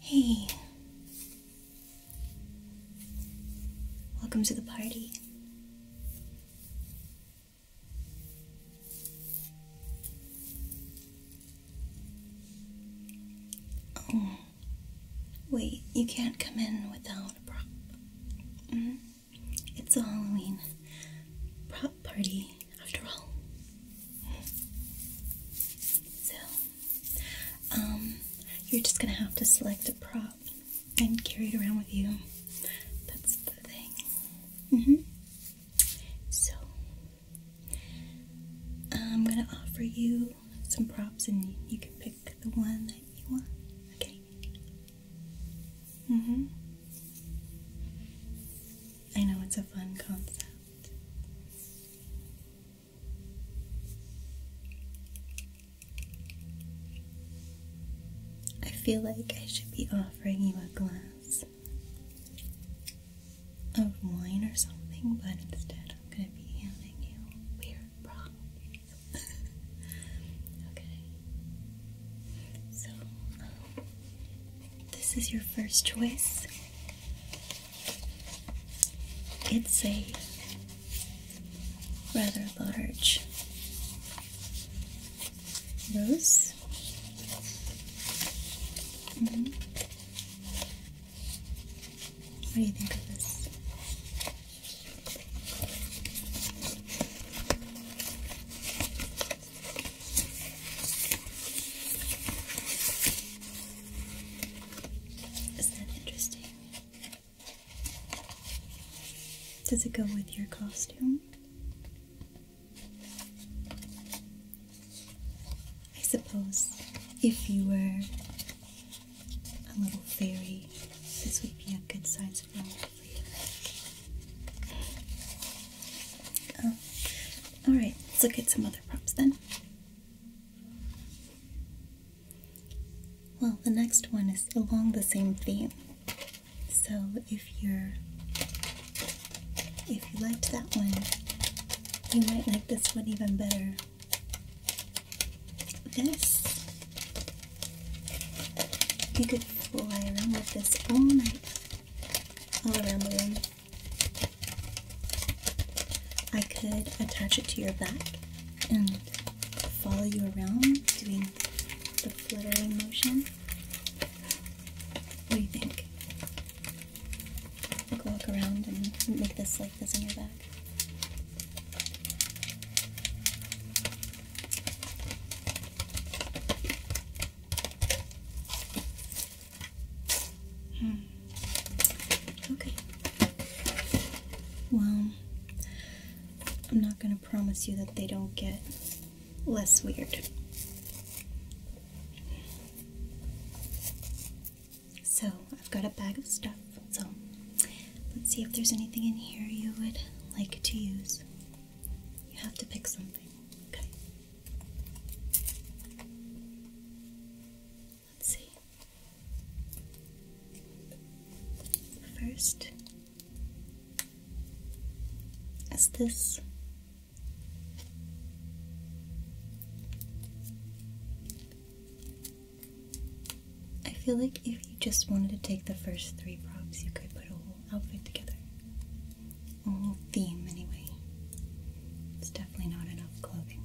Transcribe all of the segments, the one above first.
Hey, welcome to the party. Oh. Wait, you can't come in without a prop. Mm-hmm. It's a Halloween prop party, after all. So, um, you're just gonna have to select a prop and carry it around with you. That's the thing. hmm. So, I'm gonna offer you some props and you can pick the one that you want. Okay? Mm hmm. I know it's a fun concept. I feel like I should be offering you a glass of wine or something, but instead I'm going to be handing you weird problems. okay. So, this is your first choice. It's a rather large rose. Mm-hmm. What do you think of this? Is that interesting? Does it go with your costume? I suppose if you were a little fairy. This would be a good size flower for you. Oh. Alright, let's look at some other props then. Well, the next one is along the same theme. So if you're if you liked that one, you might like this one even better this. You could fly around with this all night, all around the room. I could attach it to your back and follow you around doing the fluttering motion. What do you think? I could walk around and make this like this in your back. Hmm. Okay. Well, I'm not going to promise you that they don't get less weird. So I've got a bag of stuff. So let's see if there's anything in here you would like to use. You have to pick something. Okay. Let's see. First is this. I feel like if you just wanted to take the first three props, you could put a whole outfit together. A whole theme, anyway. It's definitely not enough clothing.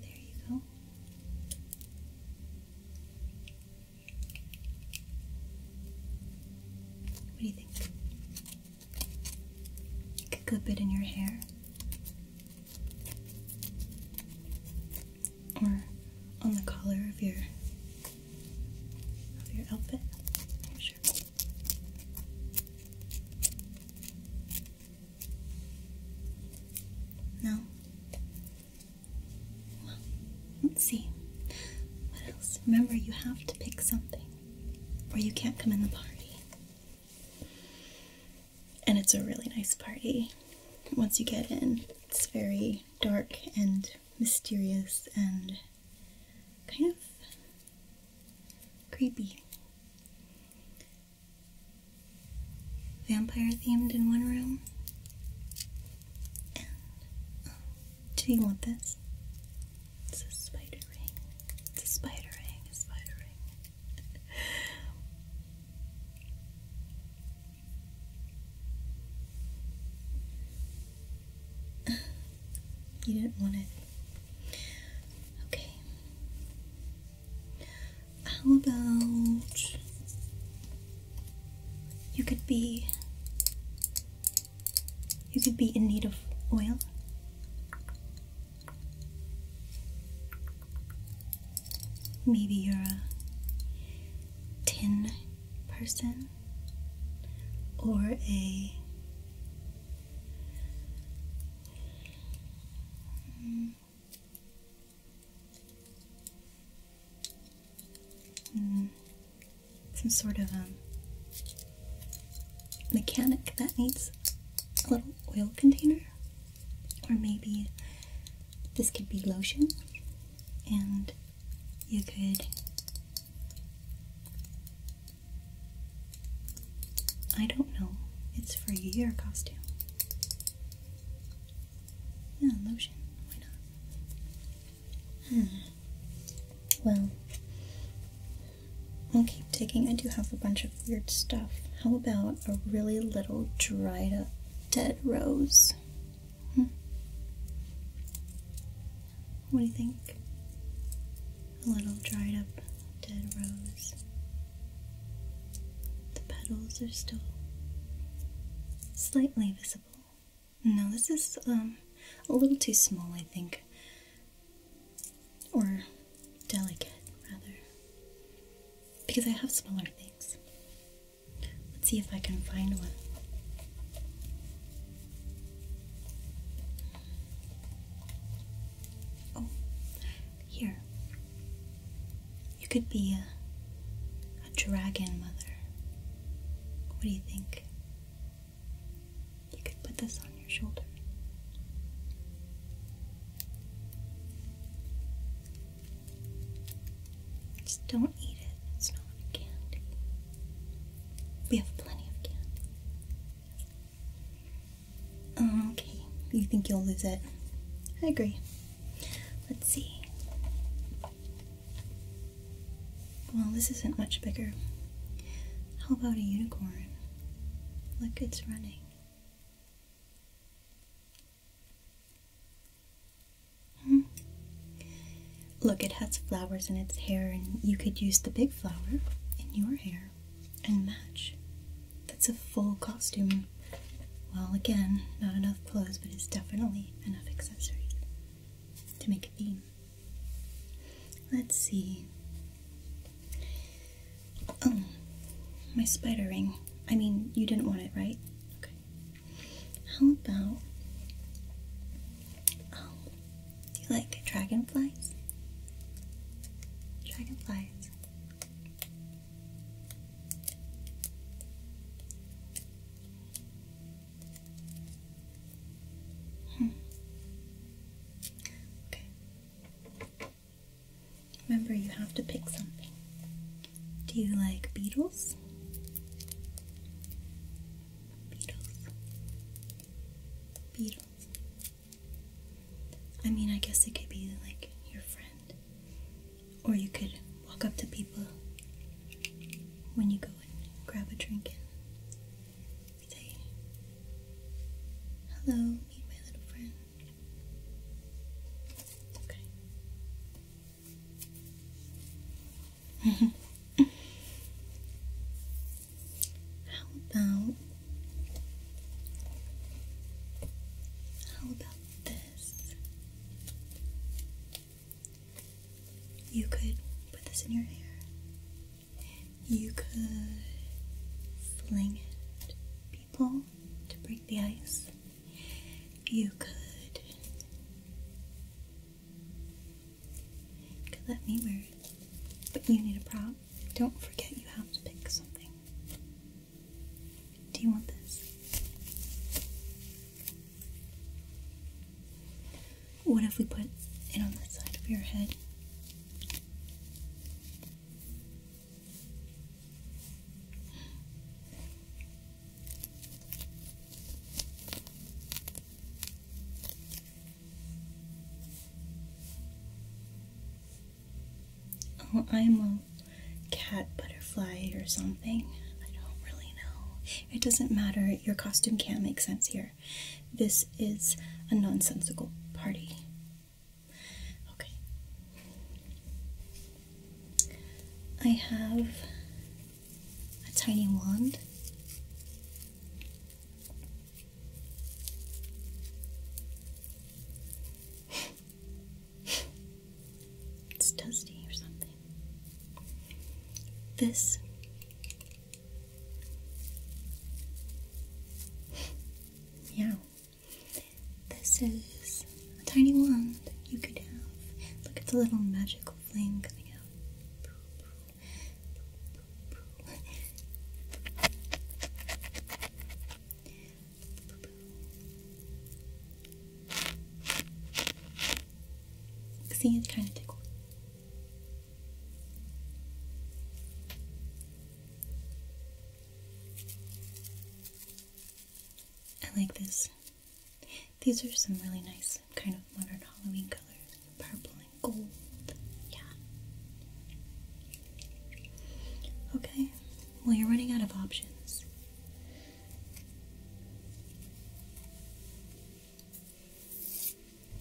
There you go. What do you think? You could clip it in your hair or on the collar of your of your outfit. Your No. Well, let's see. What else? Remember, you have to pick something, or you can't come in the party and it's a really nice party. Once you get in, it's very dark and mysterious and kind of creepy. Vampire themed in one room. Oh, do you want this? It's a spider ring. It's a spider ring, a spider ring you didn't want it. Okay. How about you could be you could be in need of oil. Maybe you're a tin person or a hmm. some sort of um, mechanic that needs a little oil container or maybe this could be lotion and you could I don't know it's for your costume yeah lotion why not hmm well I'll keep digging. I do have a bunch of weird stuff. How about a really little dried up dead rose? Hmm. What do you think? A little dried up dead rose. The petals are still slightly visible. No, this is um a little too small, I think. Or delicate, rather. Because I have smaller things. Let's see if I can find one. Oh, here. You could be a, a dragon mother. What do you think? You could put this on your shoulder. Just don't eat it. It's not candy. We have plenty of candy. Um, okay, you think you'll lose it? I agree. Let's see. Well, this isn't much bigger. How about a unicorn? Look, it's running. Hmm. Look, it has flowers in its hair, and you could use the big flower in your hair and match. That's a full costume. Well, again, not enough clothes, but it's definitely enough accessories to make a theme. Let's see. Oh, my spider ring. I mean, you didn't want it, right? Okay. How about. Oh, do you like dragonflies? Dragonflies. Hmm. Okay. Remember, you have to pick something. Do you like beetles? Beetles. Beetles. I mean, I guess it could be like your friend. Or you could walk up to people when you go and grab a drink and say, Hello, meet my little friend. Okay. how about how about this? You could put this in your hair. You could fling it to break the ice. You you could let me wear it, but you need a prop. Don't forget you have to pick something. Do you want this? What if we put it on the side of your head? Oh, I'm a cat butterfly or something. I don't really know. It doesn't matter. Your costume can't make sense here. This is a nonsensical party. Okay. I have a tiny wand. it's dusty or something. This yeah. This is a tiny wand you could have. Look at the little magical flame coming out. See, it's kind of tickled. I like this. These are some really nice kind of modern Halloween colors. Purple and gold. Yeah. Okay. Well, you're running out of options.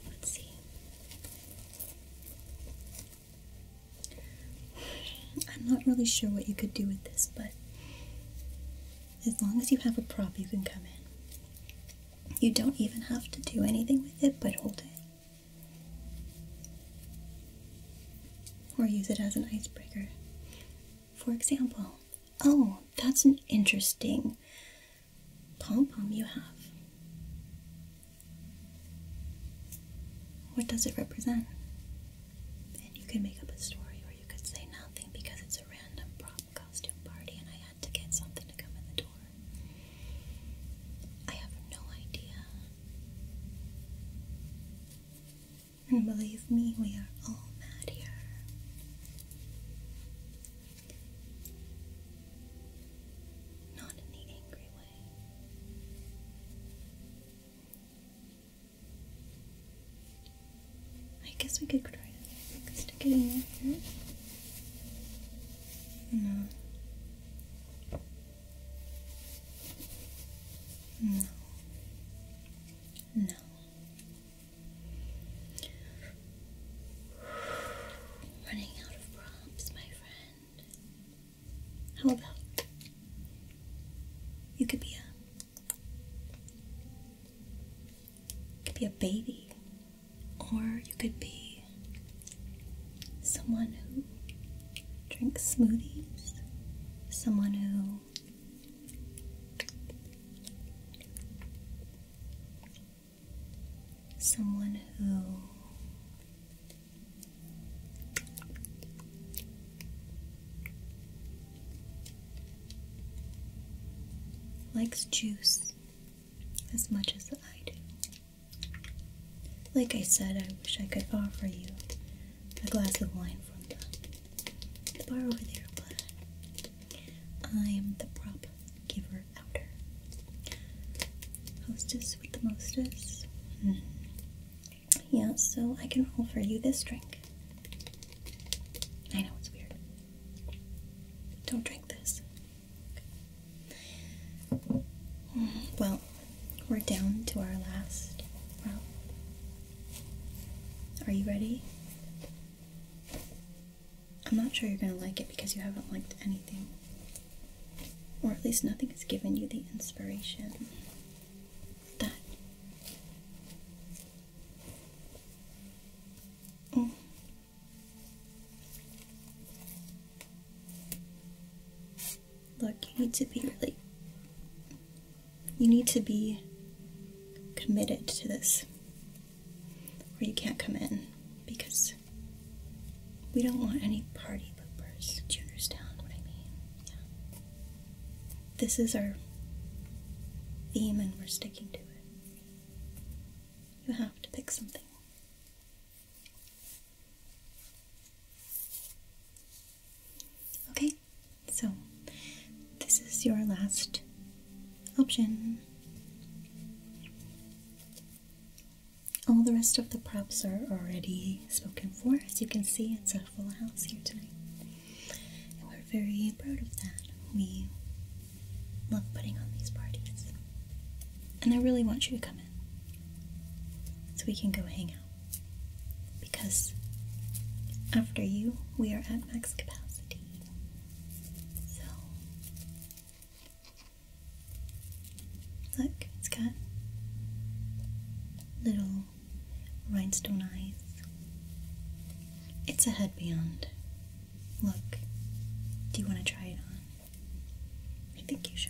Let's see. I'm not really sure what you could do with this, but as long as you have a prop, you can come in. You don't even have to do anything with it but hold it. Or use it as an icebreaker. For example, oh, that's an interesting pom pom you have. What does it represent? And you can make up a story, or you could say nothing because it's a random prom costume party and I had to get something to come in the door. I have no idea. And believe me, we are all mad here. Not in the angry way. I guess we could try to get in your No. No. No. Running out of props, my friend. How about you could be a could be a baby, or you could be someone who drinks smoothies, someone who someone who likes juice as much as I do. Like I said, I wish I could offer you a glass of wine from the, bar over there, but I am the prop giver outer. Hostess what the most is, hmm. Yeah, so I can roll for you this drink. I know it's weird. Don't drink this. Hmm, well, we're down to our last round. Are you ready? I'm not sure you're gonna like it because you haven't liked anything or at least nothing has given you the inspiration that oh. Look, you need to be really, you need to be committed to this, or you can't come in because we don't want any party poopers. Do you understand what I mean? Yeah. This is our theme and we're sticking to it. You have to pick something. Okay, so this is your last option. All the rest of the props are already spoken for. As you can see, it's a full house here tonight. And we're very proud of that. We love putting on these parties. And I really want you to come in so we can go hang out. Because after you, we are at max capacity. So Look, it's got little rhinestone eyes. It's a headband. Look, do you want to try it on? I think you should.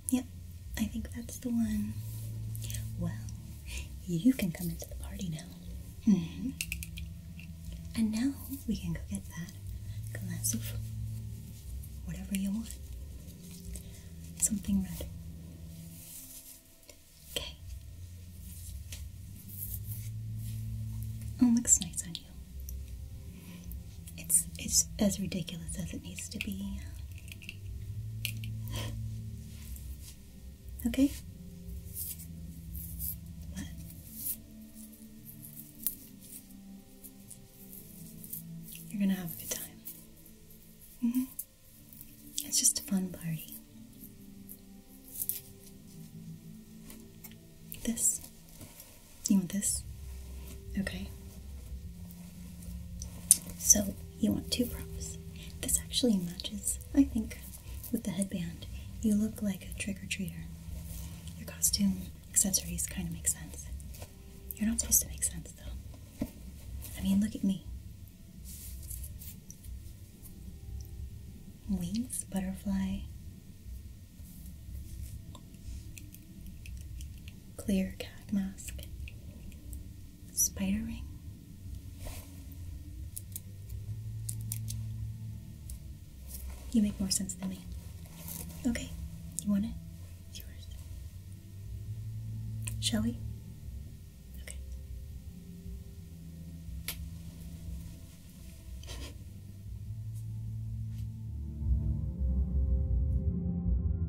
Yep, I think that's the one. Well, you can come into the party now. Mm-hmm. And now we can go get that glass of whatever you want. Something red. Okay. Oh, looks nice on you. It's it's as ridiculous as it needs to be. Okay? What? You're gonna have a good time. -hmm. It's just a fun party. This? You want this? Okay. So you want two props. This actually matches, I think, with the headband. You look like a trick-or-treater. Your costume accessories kind of make sense. You're not supposed to make sense, though. I mean, look at me. Wings, butterfly clear cat mask, spider ring, you make more sense than me. Okay, you want it? It's yours. Shall we? Okay.